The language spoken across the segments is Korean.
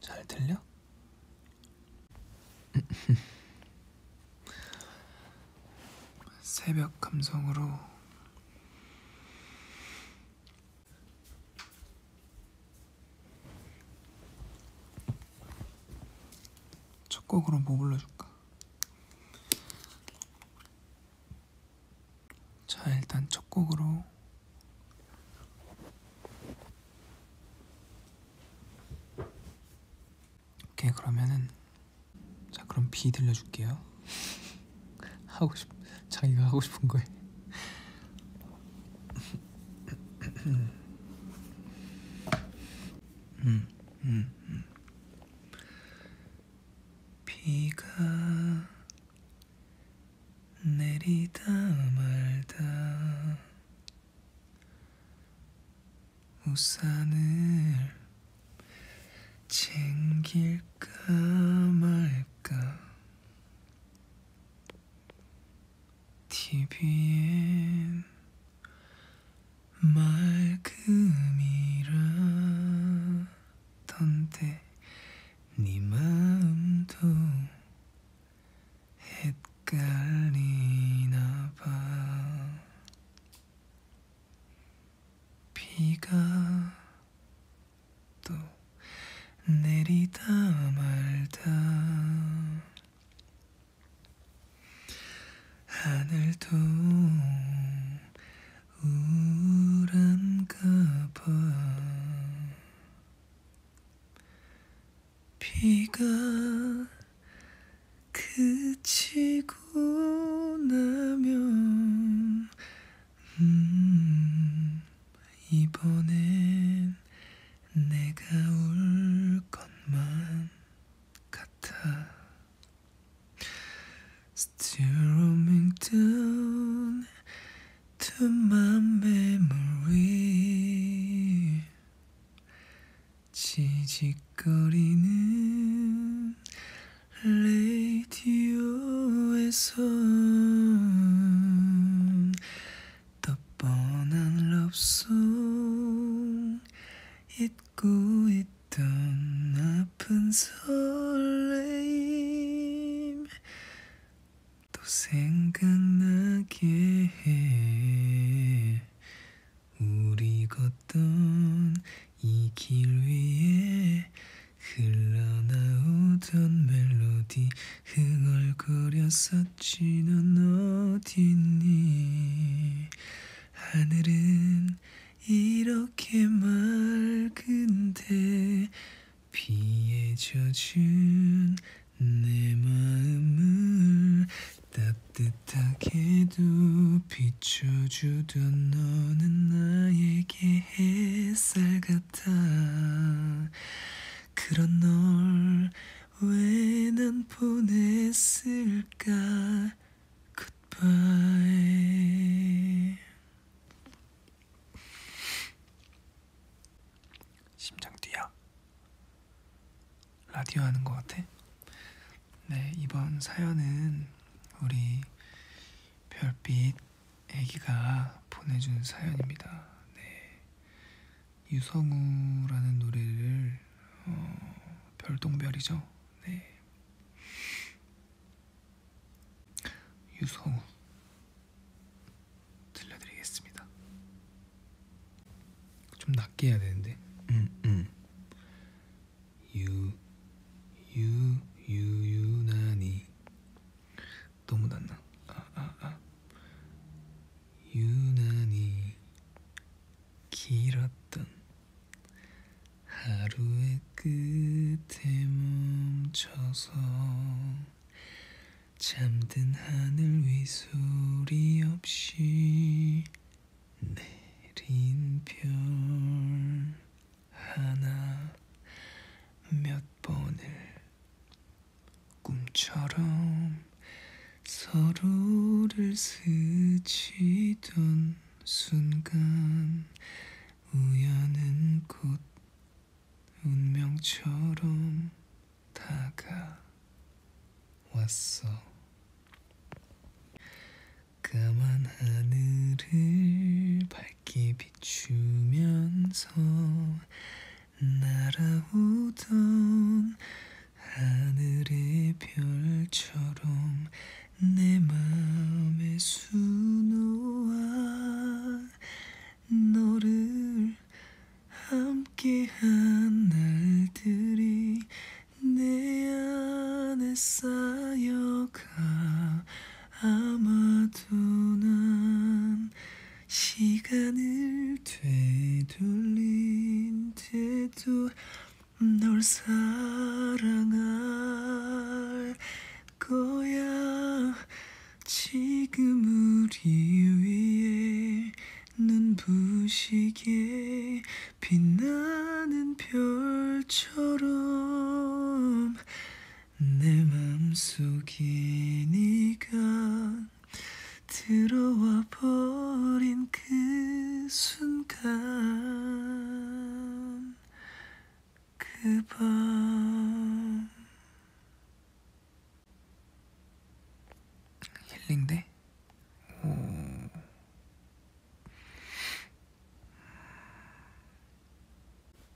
잘 들려? 새벽 감성으로 첫 곡으로 뭐 불러줄까? 자 일단 첫 곡으로 오케이 그러면은 자 그럼 B 들려줄게요 하고 싶 자기가 하고 싶은 거에 음, 음, 음. 비가 내리다 말다 우산을 챙길까 말까 TV엔 맑음이라던데 네 마음도 헷갈리나 봐 비가 또 내리다 말다 하늘도 우울한가 봐 비가 그치고 나면 음 이번엔 내가 올 것만 같아 Still roaming down to my memory 지직거리는 레디오에서 떠뻔한 럽송 잊고 있던 아픈 설레임 또 생각나게 해 우리 걷던 이 길 위에 흘러나오던 멜로디 흥얼거렸었지 넌 어딨니 하늘은 이렇게 맑은데 비에 젖은 내 마음을 따뜻하게도 비춰주던 너는 나에게 햇살 같아 그런 널 왜 난 보냈을까 Goodbye 심장 뛰야? 라디오 하는 것 같아? 네, 이번 사연은 우리 별빛 애기가 보내준 사연입니다. 네. 유성우라는 노래를 어, 별똥별이죠. 네. 유성우 들려드리겠습니다. 좀 낮게 해야 되는데. 음, 음. 유, 유, 유, 유난히 너무 낮나? 아, 아, 아. 유난히 길었던 하루의 끝에 멈춰서 잠든 하늘 위 소리 없이 내린 별 하나 몇 번을 꿈처럼 서로를 스치던 순간 우연은 곧 운명처럼 다가왔어. 까만 하늘을 밝게 비추면서 날아오던 하늘의 별처럼 내 맘에 수놓아 너를 함께한 날들이 내 안에 쌓여가 아마도 난 시간을 되돌린 때도 널 사랑할 거야 지금 우리 위에 눈부시게 빛나는 별처럼 내 맘속에 네가 들어와 버린 그 순간 그밤 힐링돼? 오.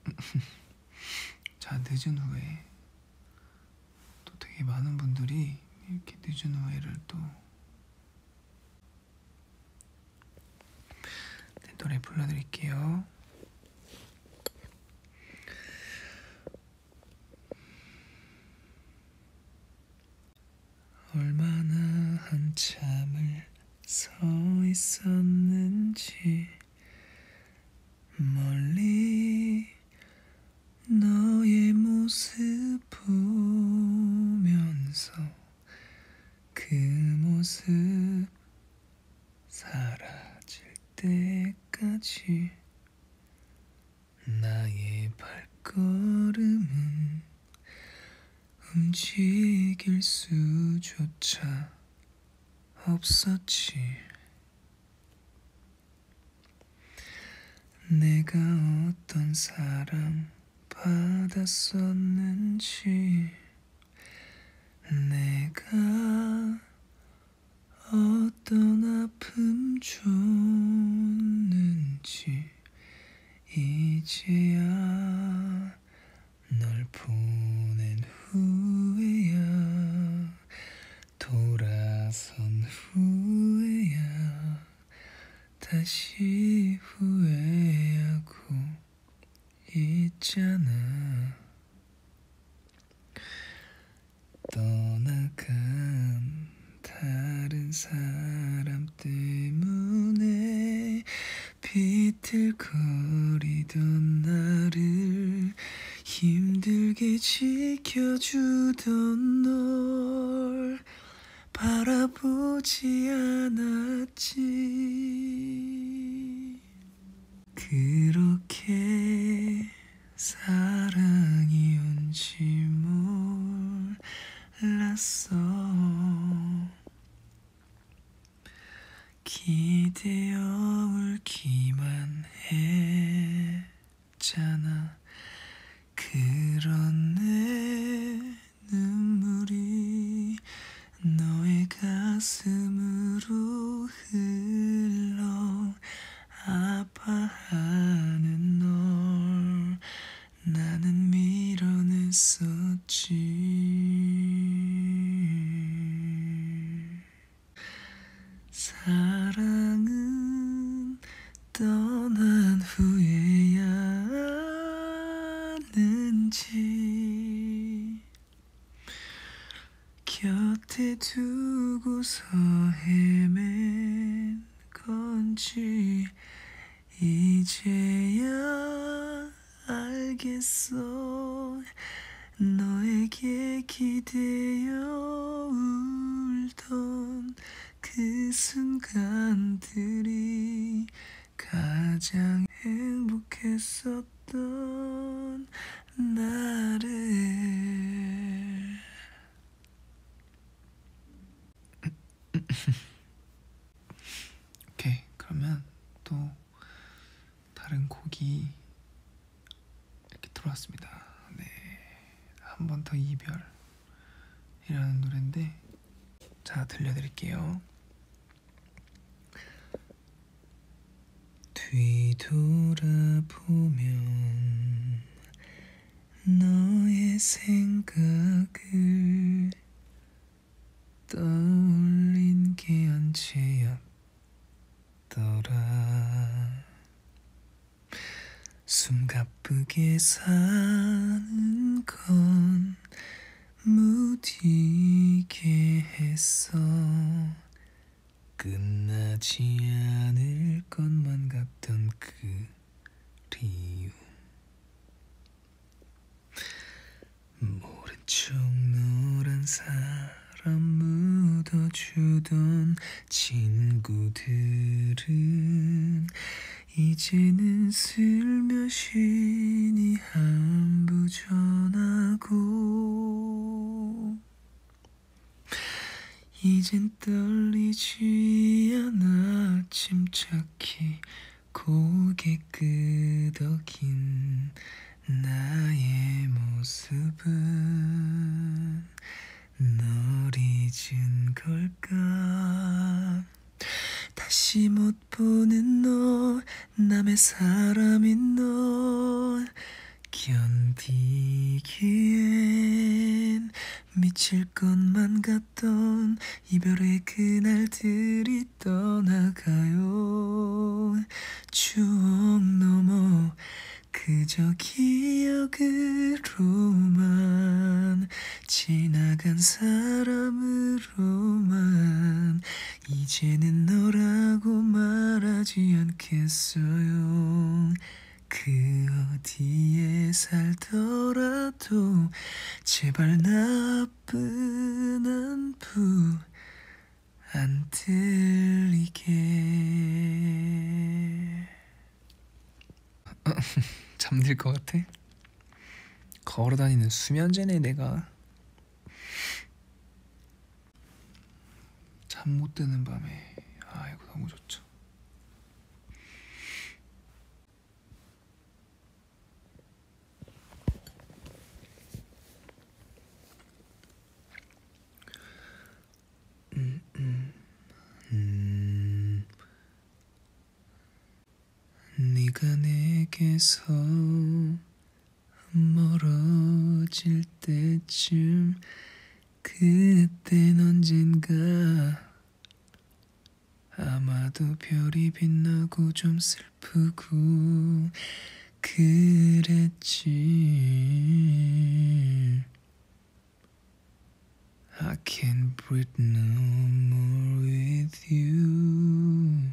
자 늦은 후에 또 되게 많은 분들이 이렇게 늦은 후에를 또 노래 불러드릴게요. 얼마나 한참을 서 있었는지 멀리 너의 모습 보면서 그 모습 사라질 때까지 나의 발걸음은 움직일 수조차 없었지. 내가 어떤 사랑 받았었는지 내가 어떤 아픔 줬는지 이제야 널 보낸 후에야 돌아선 후에야 다시 후회하고 있잖아 떠나간 다른 사람 때문에 비틀거리던 나를 힘들게 지켜주던 널 바라보지 않았지 그렇게 사랑이 온지 몰랐어 기대어 울기만 했잖아 그런 내 눈물이 너의 가슴으로 흘러 아파하는 널 나는 밀어냈었지 사랑은 떠난 후에야 아는지 곁에 두고서 헤맨 건지 이제야 알겠어 너에게 기대어 울던 그 순간들이 가장 행복했어 없던 나를 오케이 그러면 또 다른 곡이 이렇게 들어왔습니다 네한 번 더 이별이라는 노래인데 자 들려드릴게요 뒤돌아보면 너의 생각을 떠올린 게 언제였더라 숨 가쁘게 사는 건 무디게 했어 끝나지 않을 것만 같던 그리움 모른 척 노란 사람 묻어주던 친구들은 이제는 슬며시니 다시 안부 전하고 이젠 떨리지 않아 침착히 고개 끄덕인 나의 모습은 널 잊은 걸까 다시 못 보는 너 남의 사람인 널 견디기엔 미칠 것만 같던 이별의 그날들이 떠나가요 추억 넘어 그저 기억으로만 지나간 사람으로만 이제는 너라고 말하지 않겠어요 그 어디에 살더라도 제발 나쁜 안부 안 들리게 잠들 것 같아? 걸어다니는 수면제네 내가 잠못 드는 밤에 아이고 너무 좋죠. 음, 음, 음. 네가 내게서 멀어질 때쯤 그땐 언젠가 아마도 별이 빛나고 좀 슬프고 그랬지 I can't breathe no more with you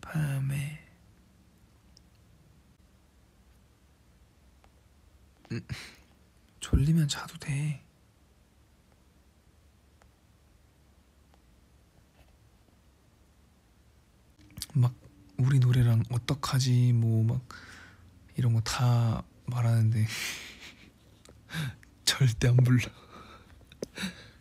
밤에 음, 졸리면 자도 돼. 막 우리 노래랑 어떡하지 뭐 막 이런 거 다 말하는데 절대 안 불러.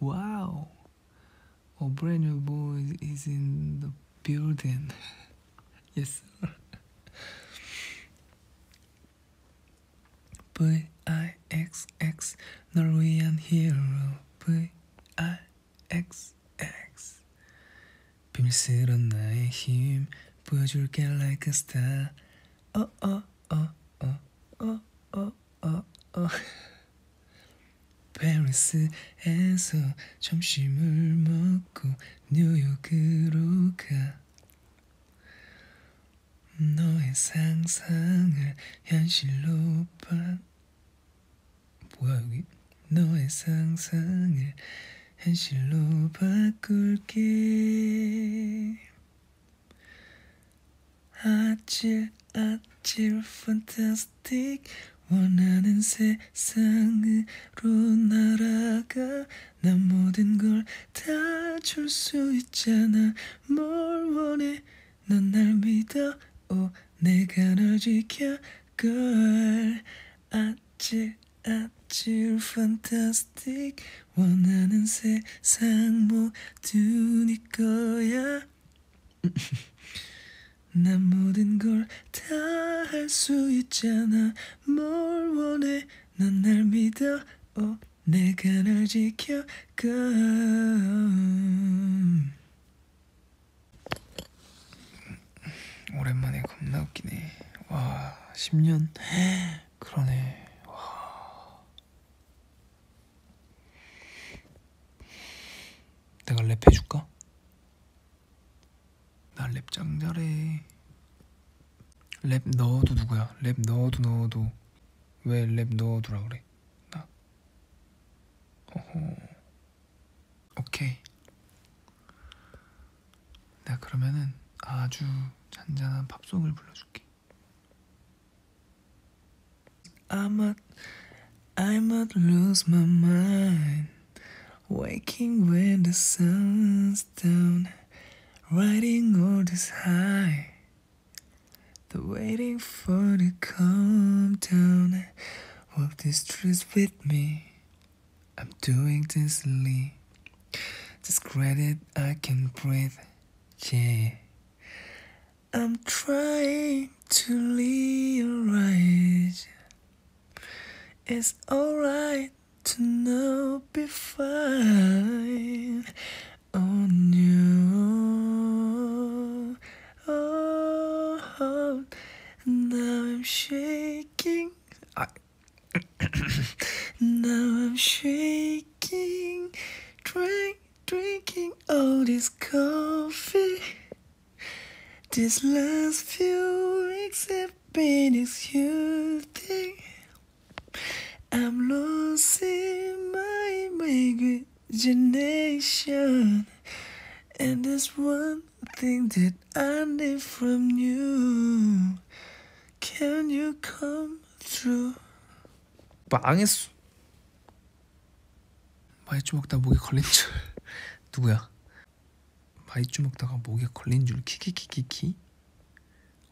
Wow! Our oh, brand new boy is in the building. yes, sir. V I X X Norwegian hero. V I X X. 빌스런 나의 힘 보여줄게 like a star. Oh oh oh oh oh oh 어, 어. 페리스에서 점심을 먹고 뉴욕으로 가 너의 상상을 현실로 봐 뭐야 여기 너의 상상을 현실로 바꿀게 아찔 아찔 판타스틱 원하는 세상으로 날아가 난 모든 걸 다 줄 수 있잖아 뭘 원해 넌 날 믿어 오 내가 널 지켜걸 아찔 아찔 판타스틱 원하는 세상 뭐 두네 거야 난 모든 걸 다 할 수 있잖아 뭘 원해 넌날 믿어 오, 어, 내가 널 지켜가 오랜만에 겁나 웃기네 와 10년 그러네 와 내가 랩 해줄까? 나랩짱 잘해 랩 넣어도 누구야? 랩 넣어도 넣어도 왜 랩 넣어두라 그래? 나 어허 오케이 내가 그러면은 아주 잔잔한 팝송을 불러줄게 I might, I might lose my mind. Waking when the sun's down, riding on this high. The waiting for the calm down. Walk these streets with me. I'm doing this Lee. This credit I can breathe. Yeah. I'm trying to live right. It's alright to know be fine on you. Oh, now I'm shaking. I now I'm shaking, trying Drinking all this coffee. These last few weeks have been exhausting. I'm losing my imagination. And there's one thing that I need from you. Can you come through? 망했어. 마이쮸 먹다 목에 걸린 줄 누구야? 마이쮸 먹다가 목에 걸린 줄 키키키키키.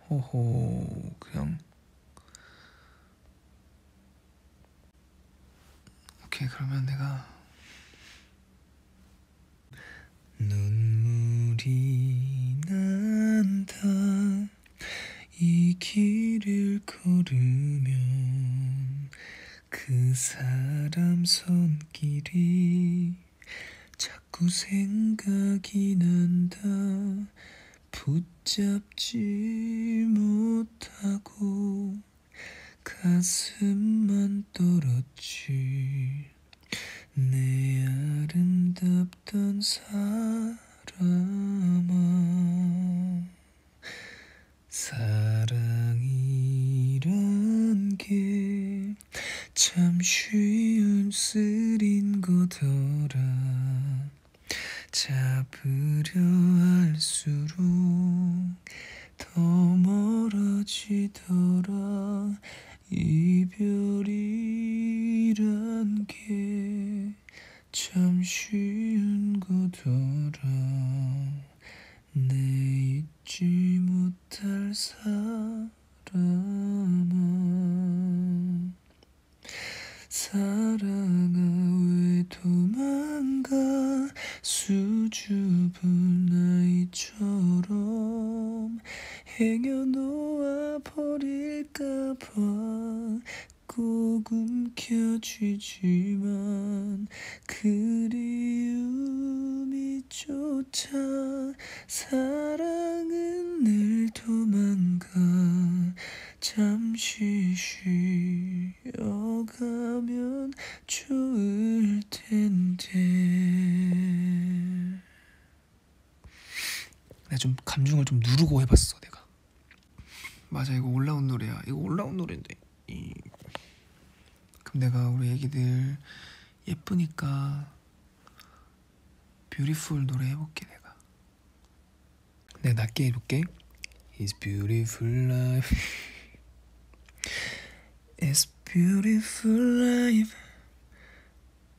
호호 그냥 오케이 그러면 내가 눈물이 난다. 이 길을 걸으면 그 사람 손길이 자꾸 생각이 난다 붙잡지 못하고 가슴만 떨었지 내 아름답던 사람 사람아 사랑이란 게 참 쉬운 쓸인 거더라 잡으려 할수록 더 멀어지더라 이별이란 게참 쉬운 거더라 내 잊지 못할 사람아 사랑아 왜 도망가 수줍은 아이처럼 행여 놓아 버릴까봐 꼭 움켜쥐지만 그리움이 쫓아 사랑은 늘 도망가 잠시 쉬어가면 좋을 텐데 내가 좀 감중을 좀 누르고 해봤어 내가 맞아 이거 올라온 노래야 이거 올라온 노래인데 이... 그럼 내가 우리 애기들 예쁘니까 뷰티풀 노래 해볼게 내가 내가 낮게 해볼게 It's beautiful life It's beautiful life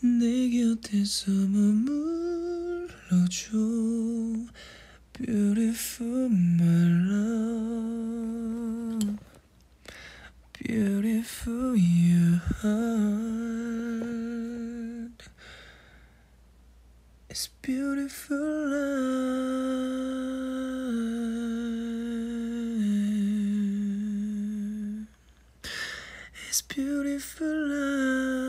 내 곁에서 머물러줘 Beautiful my love Beautiful your It's beautiful life it's beautiful life.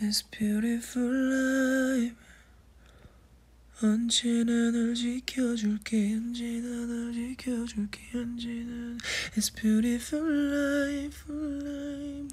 It's beautiful life. 언제나 널 지켜줄게 언제나 널 지켜줄게 언제나 It's beautiful life, life.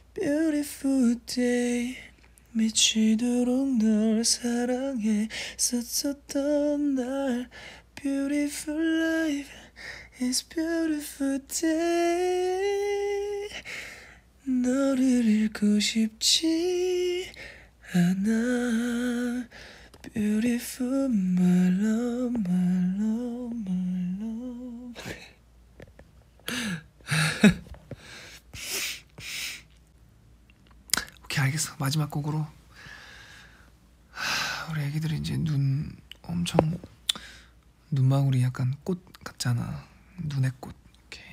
Beautiful day 미치도록 널 사랑했었던 날 Beautiful life it's beautiful day 너를 잃고 싶지 않아 Beautiful my love my love my love 오케이 알겠어 마지막 곡으로 우리 애기들이 이제 눈 엄청 눈망울이 약간 꽃 같잖아 눈의 꽃 오케이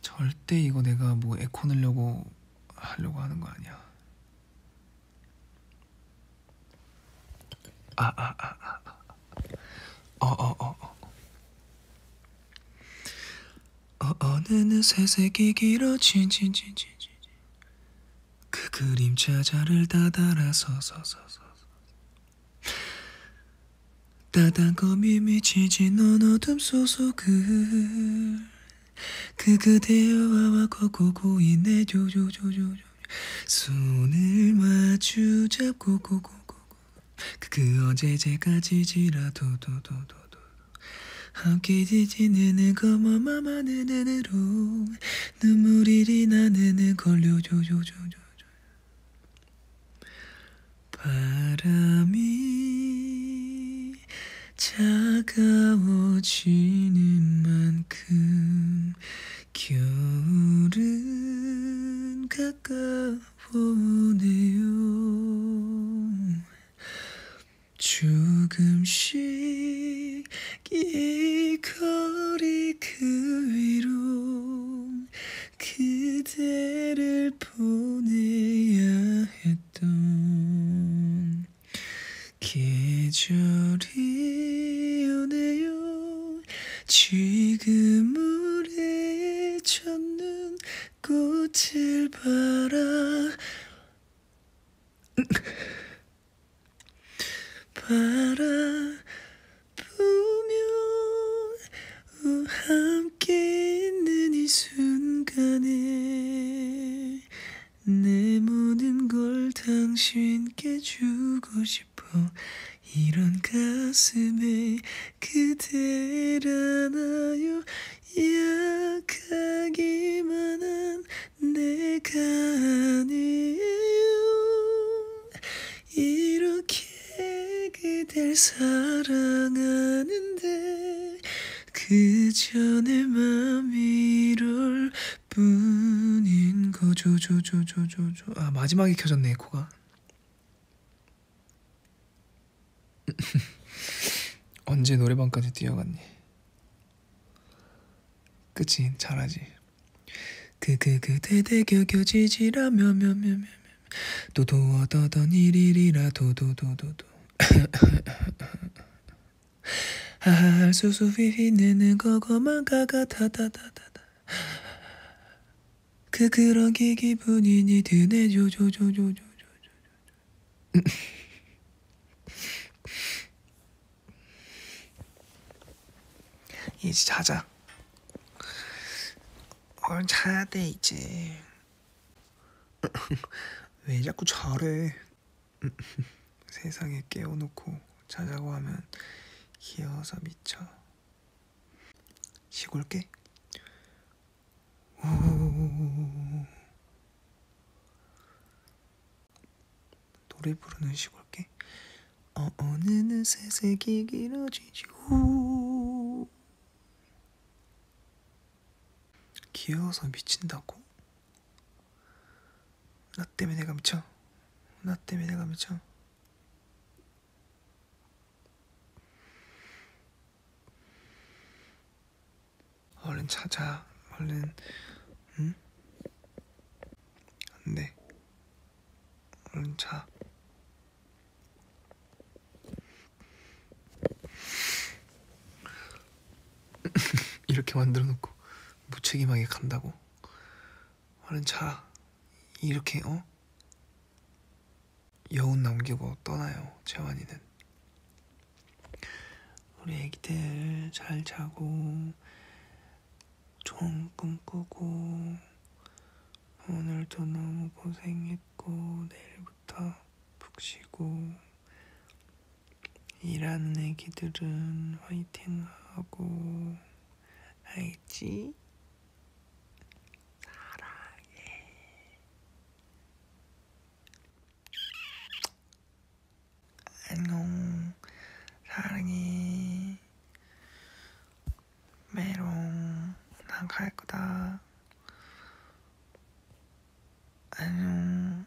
절대 이거 내가 뭐 에코 넣으려고 하려고 하는 거 아니야 아, 아, 아, 아. 어, 어, 어, 어. 어, 어느새 색이 길어진, 진, 진, 진, 진. 그 그림 자자를 따다라 서서서서. 따단검이 미치진 넌 어둠 소속을 그 그대여와 고고고인 내 조조조조조 손을 마주 잡고 고고고고 그 어제제까지 지라도 도도도도 함께 지지는 거머마마는 그 은으로 눈물이 나는 걸려줘줘줘줘 바람이 차가워지는 만큼 겨울은 가까워네요 조금씩 이 거리 그 위로 그대를 보내야 했던 계절 그리워요 지금 물에 젖는 꽃을 바라 바라보며 함께 있는 이 순간에 내 모든 걸 당신께 주고 싶어 싶어 이런 가슴에 그댈 안아요 약하기만 한 내가 아니에요 이렇게 그댈 사랑하는데 그저 내 맘이 이럴 뿐인 거죠 조조조조조 아 마지막에 켜졌네 에코가 언제 노래방까지 뛰어갔니 그치 잘하지 그 그 그대 대겨겨 지지라며 며며며 도도하던 일이라 어, 도도도도도 할수수 휘휘내는 거거만 가가 다다다다다 그 그런 기 기분이니 드네 조조조조조조조조 이제 자자 얼른 어, 자야 돼 이제 왜 자꾸 저래 세상에 깨워놓고 자자고 하면 귀여워서 미쳐. 시골개? 오. 노래 부르는 시골개? 어, 어느 느새 색이 길어지지 오. 귀여워서 미친다고? 나 때문에 내가 미쳐. 나 때문에 내가 미쳐. 얼른 자자. 얼른. 응? 안 돼. 얼른 자. 이렇게 만들어 놓고 무책임하게 간다고 얼른 자 이렇게 어? 여운 남기고 떠나요 재환이는 우리 애기들 잘 자고 좋은 꿈 꾸고 오늘도 너무 고생했고 내일부터 푹 쉬고 일하는 애기들은 화이팅 하고 알지? 사랑해. 안녕, 사랑해. 메롱, 난 갈 거다. 안녕.